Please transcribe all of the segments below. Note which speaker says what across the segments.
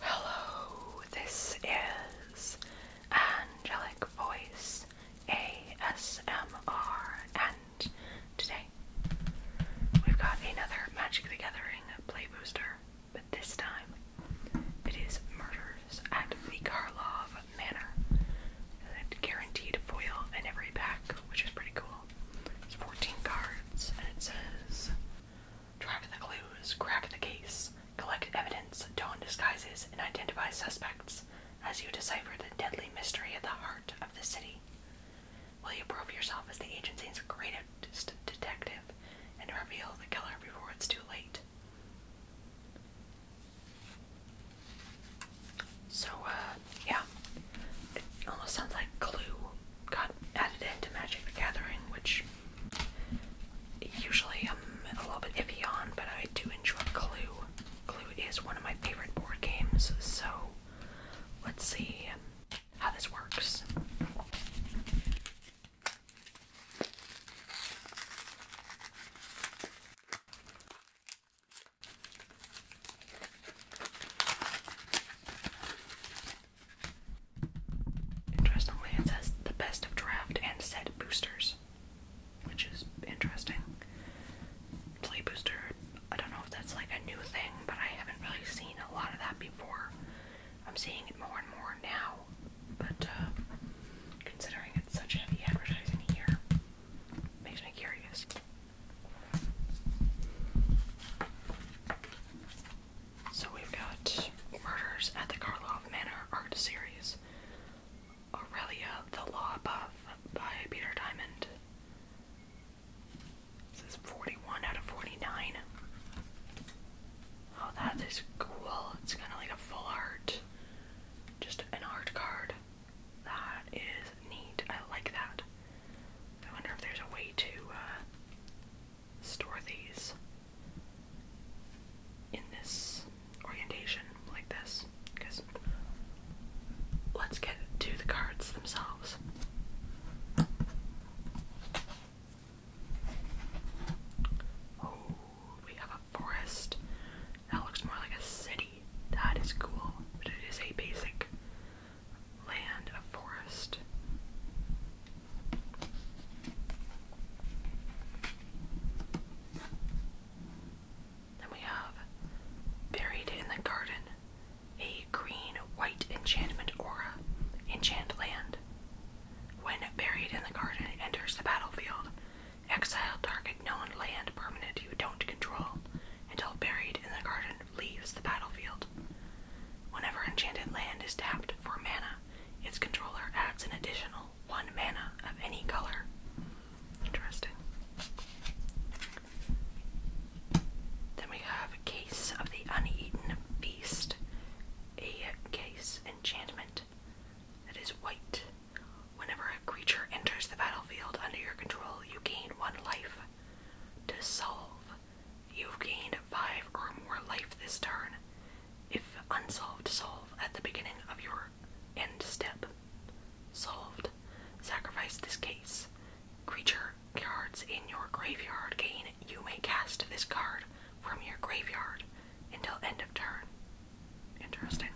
Speaker 1: Hello, this is Angelic Voice ASMR, and today we've got another Magic the Gathering play booster, but this time it is Murders at the Karlov Manor. It's guaranteed foil in every pack, which is pretty cool. It's 14 cards, and it says track the clues, crack the case, collect evidence, don disguises, and identify suspects as you decipher the deadly mystery at the heart of the city. Will you prove yourself as the agency's greatest detective and reveal the killer before it's too late? So, uh, yeah. It almost sounds like Clue, got added into Magic the Gathering, which usually I'm a little bit iffy on, but I do enjoy Clue. Clue is one of my favorite board games, so let's see how this works. Interestingly, it says the best of draft and set boosters, which is interesting. Play booster, I don't know if that's like a new thing, but I haven't really seen a lot of that before. I'm seeing it more and more now, but uh, considering it's such heavy advertising here, makes me curious. So we've got Murders at the Karloff Manor art series, Aurelia, The Law Above by Peter Diamond. This is 41 out of 49. Oh, that is cool. It's kind of like a full art, just an art card. That is neat. I like that. I wonder if there's a way to uh, store these in this orientation like this because let's get to the cards themselves. Oh, we have a forest. That looks more like a city. That is cool, but it is a basic land of forest. Then we have Buried in the Garden, a green white enchantment aura, enchant land. When buried in the garden enters the battlefield, exile Dark known land permanent you don't control until buried in the garden leaves the battlefield. Whenever Enchanted Land is tapped for mana, its controller adds an additional one mana of any color. Interesting. Then we have a Case of the Uneaten Feast, a case enchantment that is white. Whenever a creature enters the battlefield under your control, you gain one life. To solve You've gained five or more life this turn if unsolved solve at the beginning of your end step. Solved. Sacrifice this case. Creature cards in your graveyard gain. You may cast this card from your graveyard until end of turn. Interesting.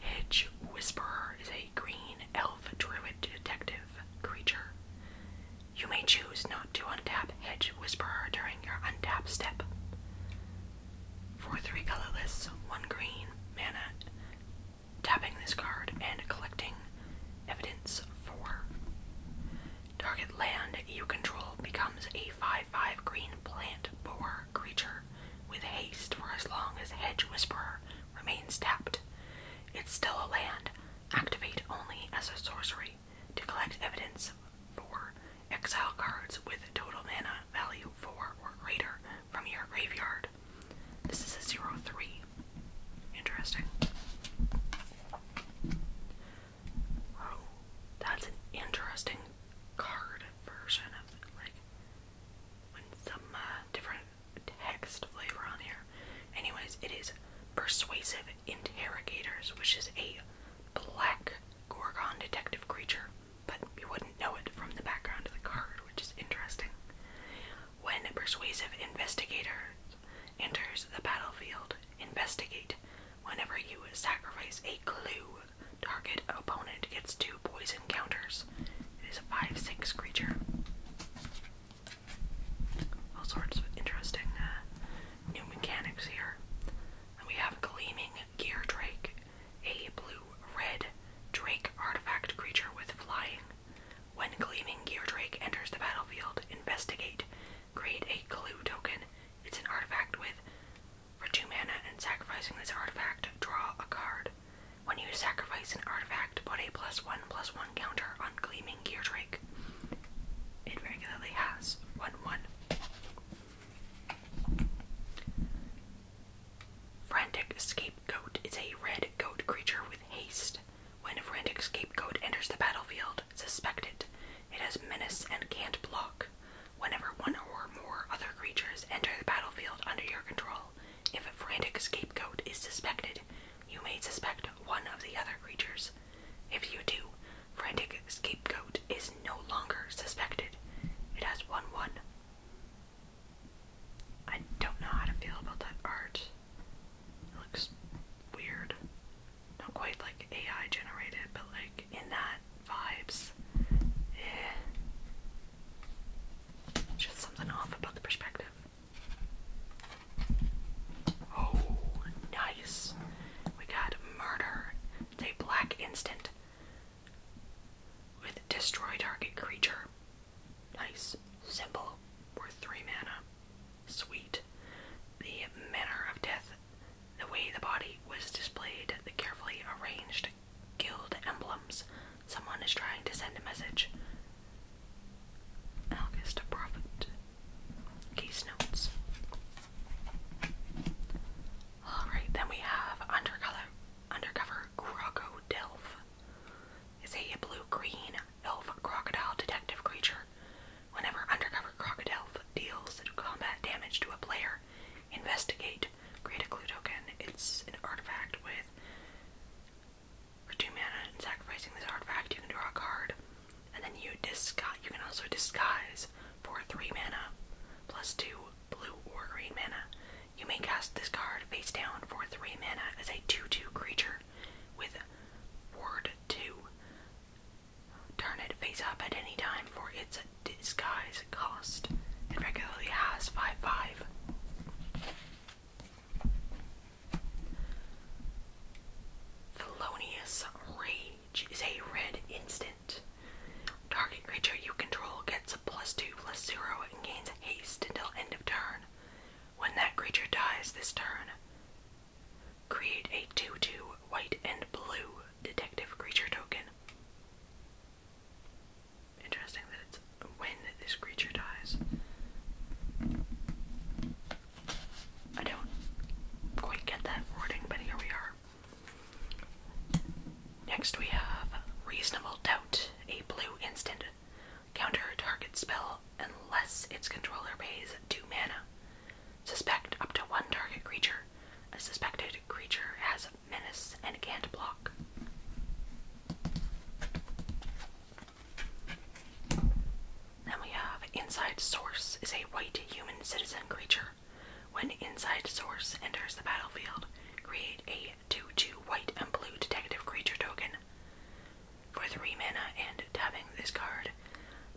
Speaker 1: Hedge Whisperer is a green elf druid detective creature. You may choose not to untap Hedge Whisperer during your untap step. For three colorless, one green mana, tapping this card and collecting evidence for. Target land you control becomes a 5 5 green plant boar creature with haste for as long as hedge whisperer remains tapped. It's still a land, activate only as a sorcery to collect evidence for exile cards with total mana value 4 or greater from your graveyard. This is a 0 3. Interesting. Oh, that's an interesting card version of like some uh, different text flavor on here. Anyways, it is Persuasive Interrogators, which is a black Gorgon detective creature, but you wouldn't know it from the background of the card, which is interesting. When Persuasive Investigator enters the battlefield, investigate whenever you sacrifice a clue Target opponent gets two poison counters. It is a 5-6 creature. All sorts of interesting uh, new mechanics here. we have Gleaming Gear Drake, a blue-red Drake artifact creature with flying. When Gleaming Gear Drake enters the battlefield, investigate. Create a clue token. It's an artifact with for two mana and sacrificing this artifact, draw a card. When you sacrifice an artifact, put a plus one plus one counter on Gleaming Gear Drake. It regularly has one one. Frantic Scapegoat is a red goat creature with haste. When a frantic scapegoat enters the battlefield, suspect it. It has menace and can't block. Whenever one or more other creatures enter the battlefield under your control, if a frantic scapegoat is suspected, you may suspect one of the other creatures. If you do, frantic scapegoat is no longer suspected. It has won one. I don't know how to feel about that art. It looks weird. Not quite like AI generated, but like in that vibes. Yeah. Just something off about the perspective. Oh, nice. We got murder. It's a black instant with destroy target creature. Nice. Simple. Worth three mana. Sweet. The manner of death the way the body was displayed, the carefully arranged guild emblems. Someone is trying to send a message. Analogous profit. Case notes. Alright, then we have Undercover, undercover Croco Delph. Is a blue green elf crocodile detective creature. Whenever Undercover Crocodile deals combat damage to a player, Investigate. Create a clue token. It's an artifact with. two mana sacrificing this artifact, you can draw a card. And then you disguise. can also disguise for three mana, plus two blue or green mana. You may cast this card face down for three mana as a 2 2 creature with word 2. Turn it face up at any time for its disguise cost. It regularly has 5 5. Felonious Rage is a red instant. Target creature you control gets a plus 2 plus 0 and gains haste until end of turn. When that creature dies this turn, create a 2 2 white and blue detective creature token. Interesting that it's when this creature dies. I don't quite get that wording, but here we are. Next we have Reasonable Doubt, a blue instant. Counter target spell unless its controller pays two mana. Suspect up to one target creature. A suspected creature has menace and can't block. Then we have Inside Source is a white human citizen creature. When Inside Source enters the battlefield, create a 2 2 white and blue detective creature token. For 3 mana and tapping this card,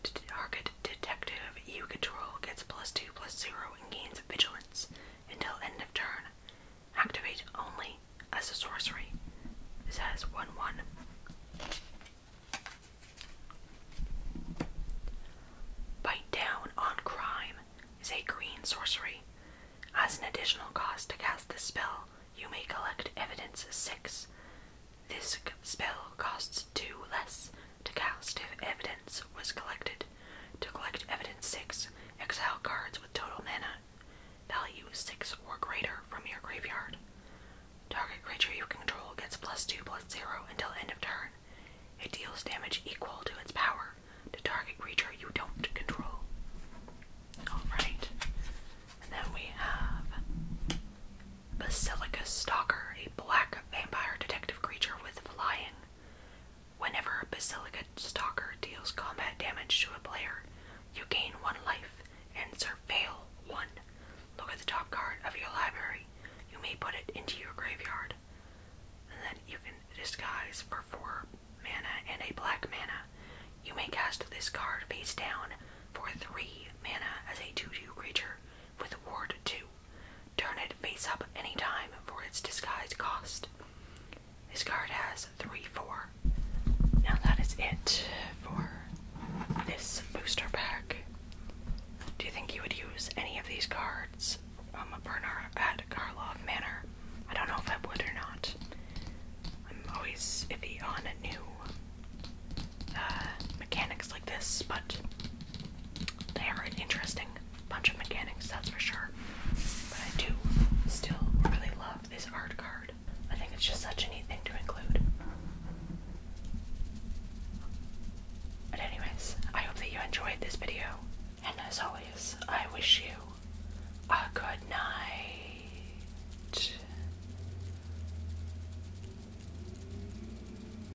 Speaker 1: to target detective you control gets plus 2 plus 0 and gains vigilance until end of turn. Activate only as a sorcery. This has 1 1. Bite Down on Crime is a green sorcery. As an additional cost to cast this spell, you may collect evidence 6. This spell costs 2 less to cast if evidence was collected. To collect evidence 6, exile cards with total mana value 6 or greater from your graveyard. Target creature you control gets plus 2 plus 0 until end of turn. It deals damage equal to its power to target creature you don't control. Alright. And then we have Basilica Stalker, a black vampire detective creature with flying. Whenever a Basilica Stalker deals combat damage to a player, you gain one life and surveil one. Look at the top card of your library. You may put it into your graveyard. And then you can disguise for four mana and a black mana. You may cast this card face down for three mana as a 2 2 creature with Ward 2. Turn it face up any time for its disguise cost. This card has 3 4. Now that is it for this booster pack. Do you think you would use any of these cards um, a burner at Karlov Manor? I don't know if I would or not. I'm always iffy on new uh, mechanics like this, but they are an interesting bunch of mechanics, that's for sure. But I do still really love this art card. I think it's just such a neat thing to include. But anyways, I hope that you enjoyed this video. And as always, I wish you a good night.